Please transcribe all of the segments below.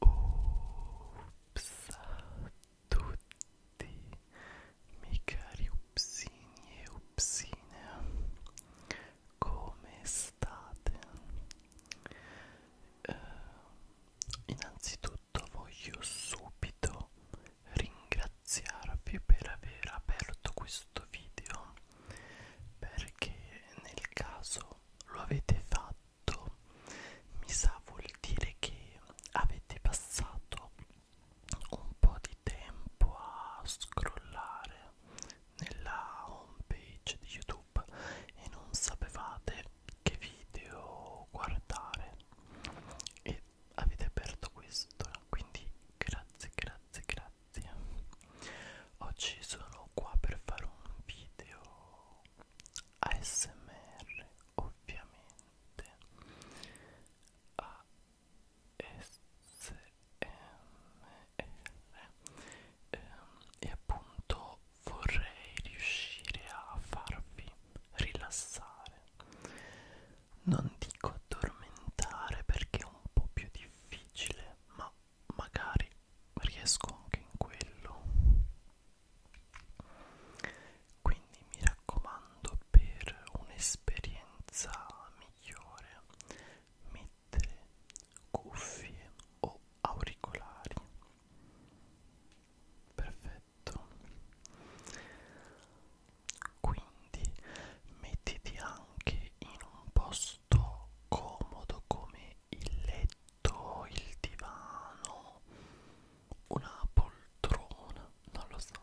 Ups a tutti, miei cari upsini e upsine, come state? Eh, innanzitutto tutto voglio subito ringraziarvi per aver aperto questo video perché nel caso lo avete fatto mi sa vuol dire che avete passato un po' di tempo a scrollare nella home page di youtube e non sapevate che video guardare ed avete aperto questo quindi grazie grazie grazie oggi sono qua per fare un video ASMR ovviamente ASMR ehm, e appunto vorrei riuscire a farvi rilassare non dico addormentare perché è un po' più difficile, ma magari riesco anche in quello. Quindi mi raccomando per un'esperienza migliore mettere cuffie o auricolari. Perfetto perfetto quindi mettiti anche in un posto comodo come il letto il divano una poltrona non lo so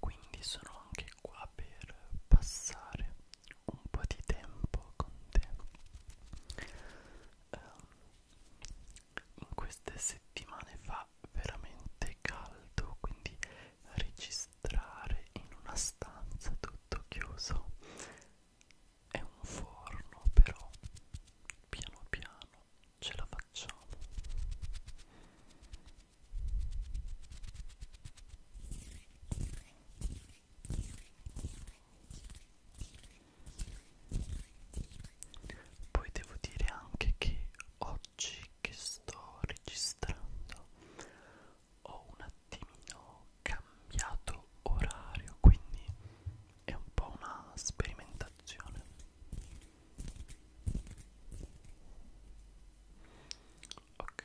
Quindi sono anche qua per passare un po' di tempo con te um, in queste settimane fa veramente caldo quindi registrare mostrare in una stanza tutto chiuso è un forno però piano piano ce la facciamo poi devo dire anche che oggi che sto registrando ho un attimino cambiato orario quindi è un po' una sperimentazione ok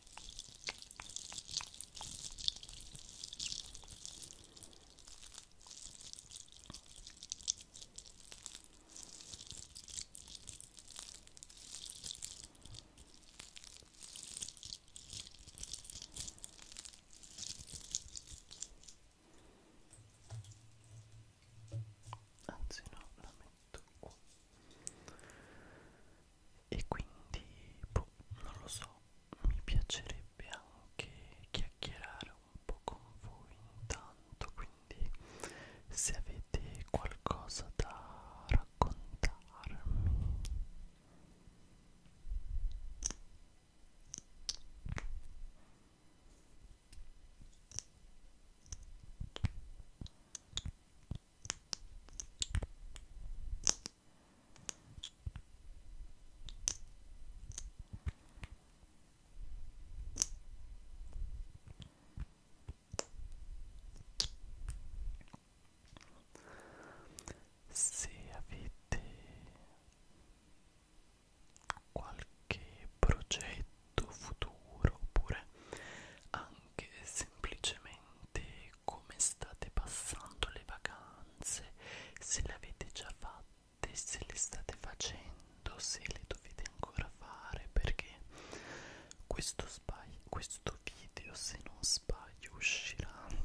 Anzi no, la metto qua e quindi boh, non lo so mi piacerebbe anche chiacchierare un po' con voi intanto quindi se avete qualcosa da raccontarmi se avete qualche progetto futuro oppure anche anche semplicemente come state passando le vacanze, se le avete già fatte, se le state facendo, se le dovete ancora fare, perché questo, sbaglio, questo video, se non sbaglio, uscirà eh,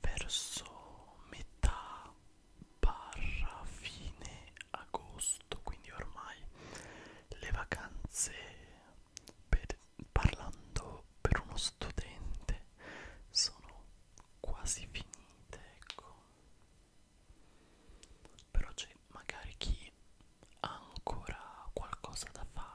verso metà barra fine agosto, quindi ormai le vacanze per, parlando per uno studente sono quasi finite ecco però c'è magari chi ha ancora qualcosa da fare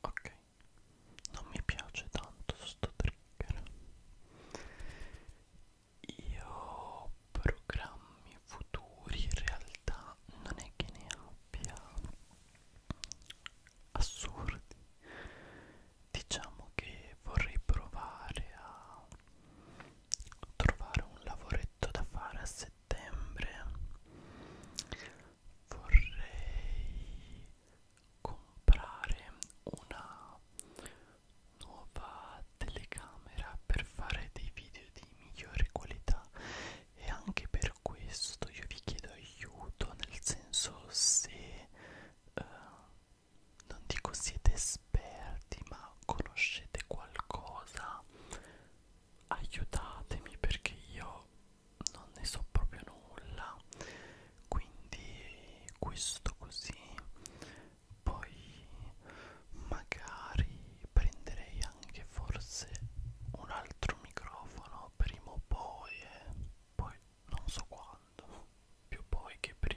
Ok, non mi piace tanto sto trigger. Io programmi futuri in realtà non è che ne abbia assurdi diciamo che vorrei provare a trovare un lavoretto da fare a settembre vorrei comprare una nuova telecamera per fare dei video di migliore qualità e anche per questo io vi chiedo aiuto nel senso se uh, non dico siete esperti ma conoscete qualcosa aiutatemi perché io non ne so proprio nulla quindi questo così poi magari prenderei anche forse un altro microfono prima o poi eh. poi non so quando più poi che prima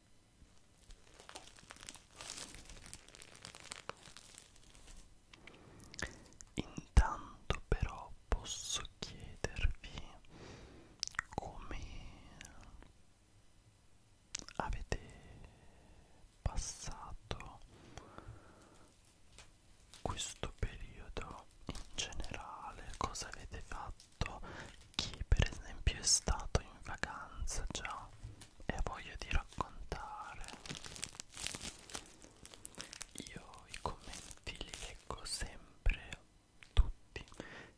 Intanto però posso chiedervi come avete passato questo periodo in generale, cosa avete fatto soprattutto chi per esempio è stato in vacanza già e ha voglia di raccontare. Io i commenti li leggo sempre tutti,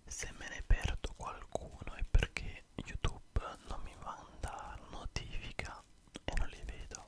se me ne perdo qualcuno è perché YouTube non mi manda notifica e non li vedo.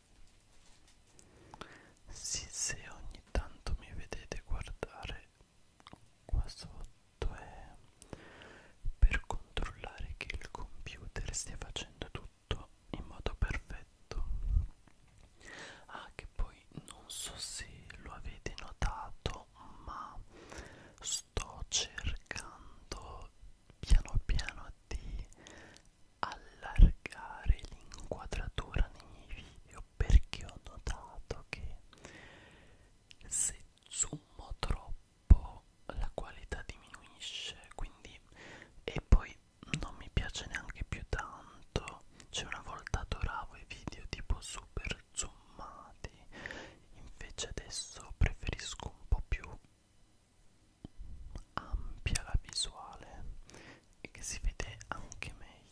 Sì, se ogni tanto mi vedete guardare qua sotto è per controllare che il computer stia facendo tutto in modo perfetto. Ah, che poi non so se lo avete notato, ma sto cercando piano piano di allargare l'inquadratura nei miei video perché ho notato che se zoomo troppo la qualità diminuisce quindi e poi non mi piace neanche più tanto cioè una volta adoravo i video tipo super zoomati invece adesso preferisco un po' più ampia la visuale e che si vede anche meglio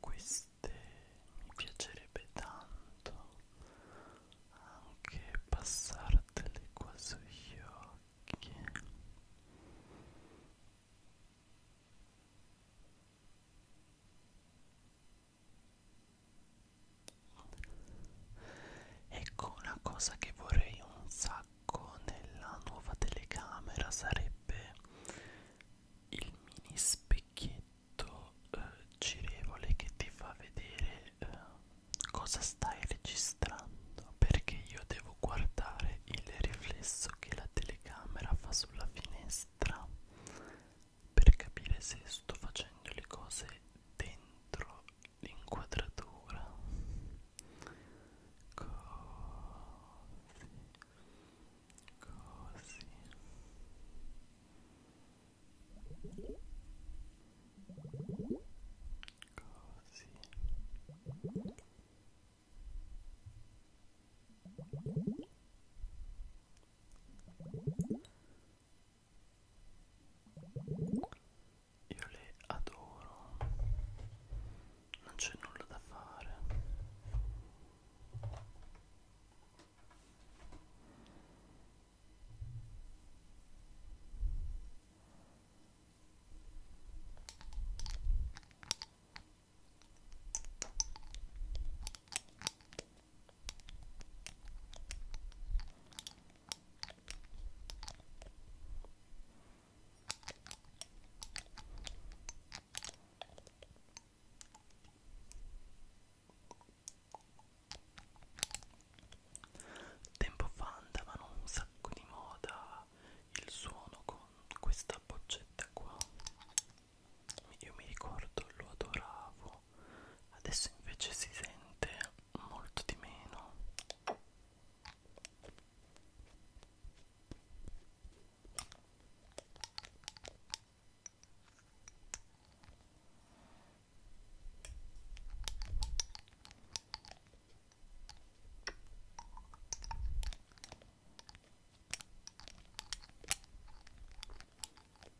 Queste mi piacerebbe tanto anche passartele qua sugli occhi. Ecco una cosa che vorrei un sacco nella nuova telecamera sarebbe il mini specchietto eh, girevole che ti fa vedere eh, cosa stai registrando perché io devo guardare il riflesso che la telecamera fa sulla finestra per capire se sto facendo le cose dentro l'inquadratura così così così così io le adoro. Non c'è nulla da fare. Tempo fa andavano un sacco di moda il suono con questa boccetta qua. Io mi ricordo, lo adoravo po', adesso invece si sente molto di meno.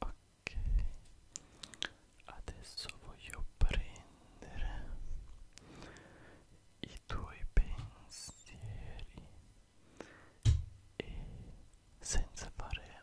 Ok, adesso voglio prendere i tuoi pensieri e senza fare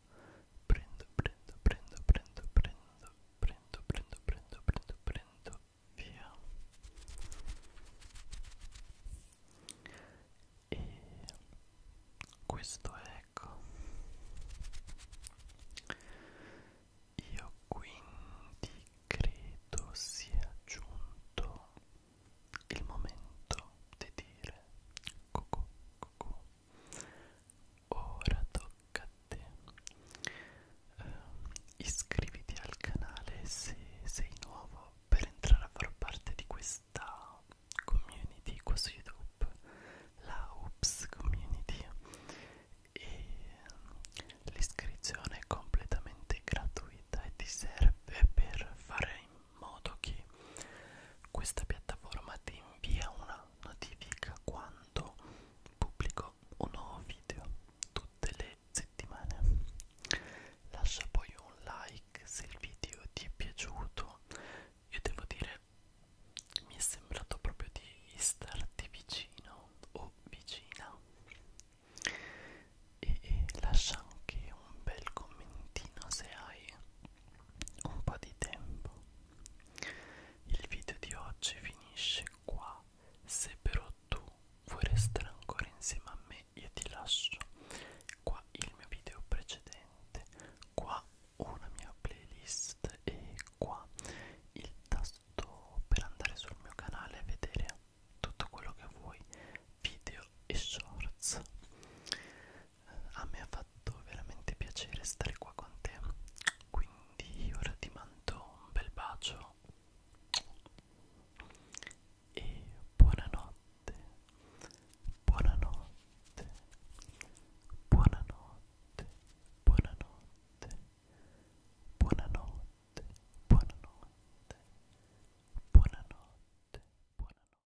prendo, prendo, prendo, prendo, prendo, prendo, prendo, prendo, prendo, prendo, via e questo è ecco io quindi credo sia giunto il momento di dire cucù cucù Ora tocca a te. Uh, iscriviti al canale se sei nuovo per entrare a far parte di questa community qua su YouTube, la Oops Community e ehm, l'iscrizione è completamente gratuita e ti serve per fare modo che questa piattaforma ti invia una notifica quando pubblico un nuovo video tutte le settimane lascia poi un like se il video ti è piaciuto io devo dire mi è sembrato proprio di starti vicino o vicina e, e lascia anche un bel commentino se hai un po' di tempo. Il video di oggi finisce qua. Se però tu vuoi restare ancora insieme a me, io ti lascio qua il mio video precedente, qua una mia playlist e qua il tasto per andare sul mio canale e vedere tutto quello che vuoi, video e shorts a me ha fatto veramente piacere stare qua con te quindi ora ti mando un bel bacio e buonanotte buonanotte buonanotte buonanotte buonanotte buonanotte buonanotte buonanotte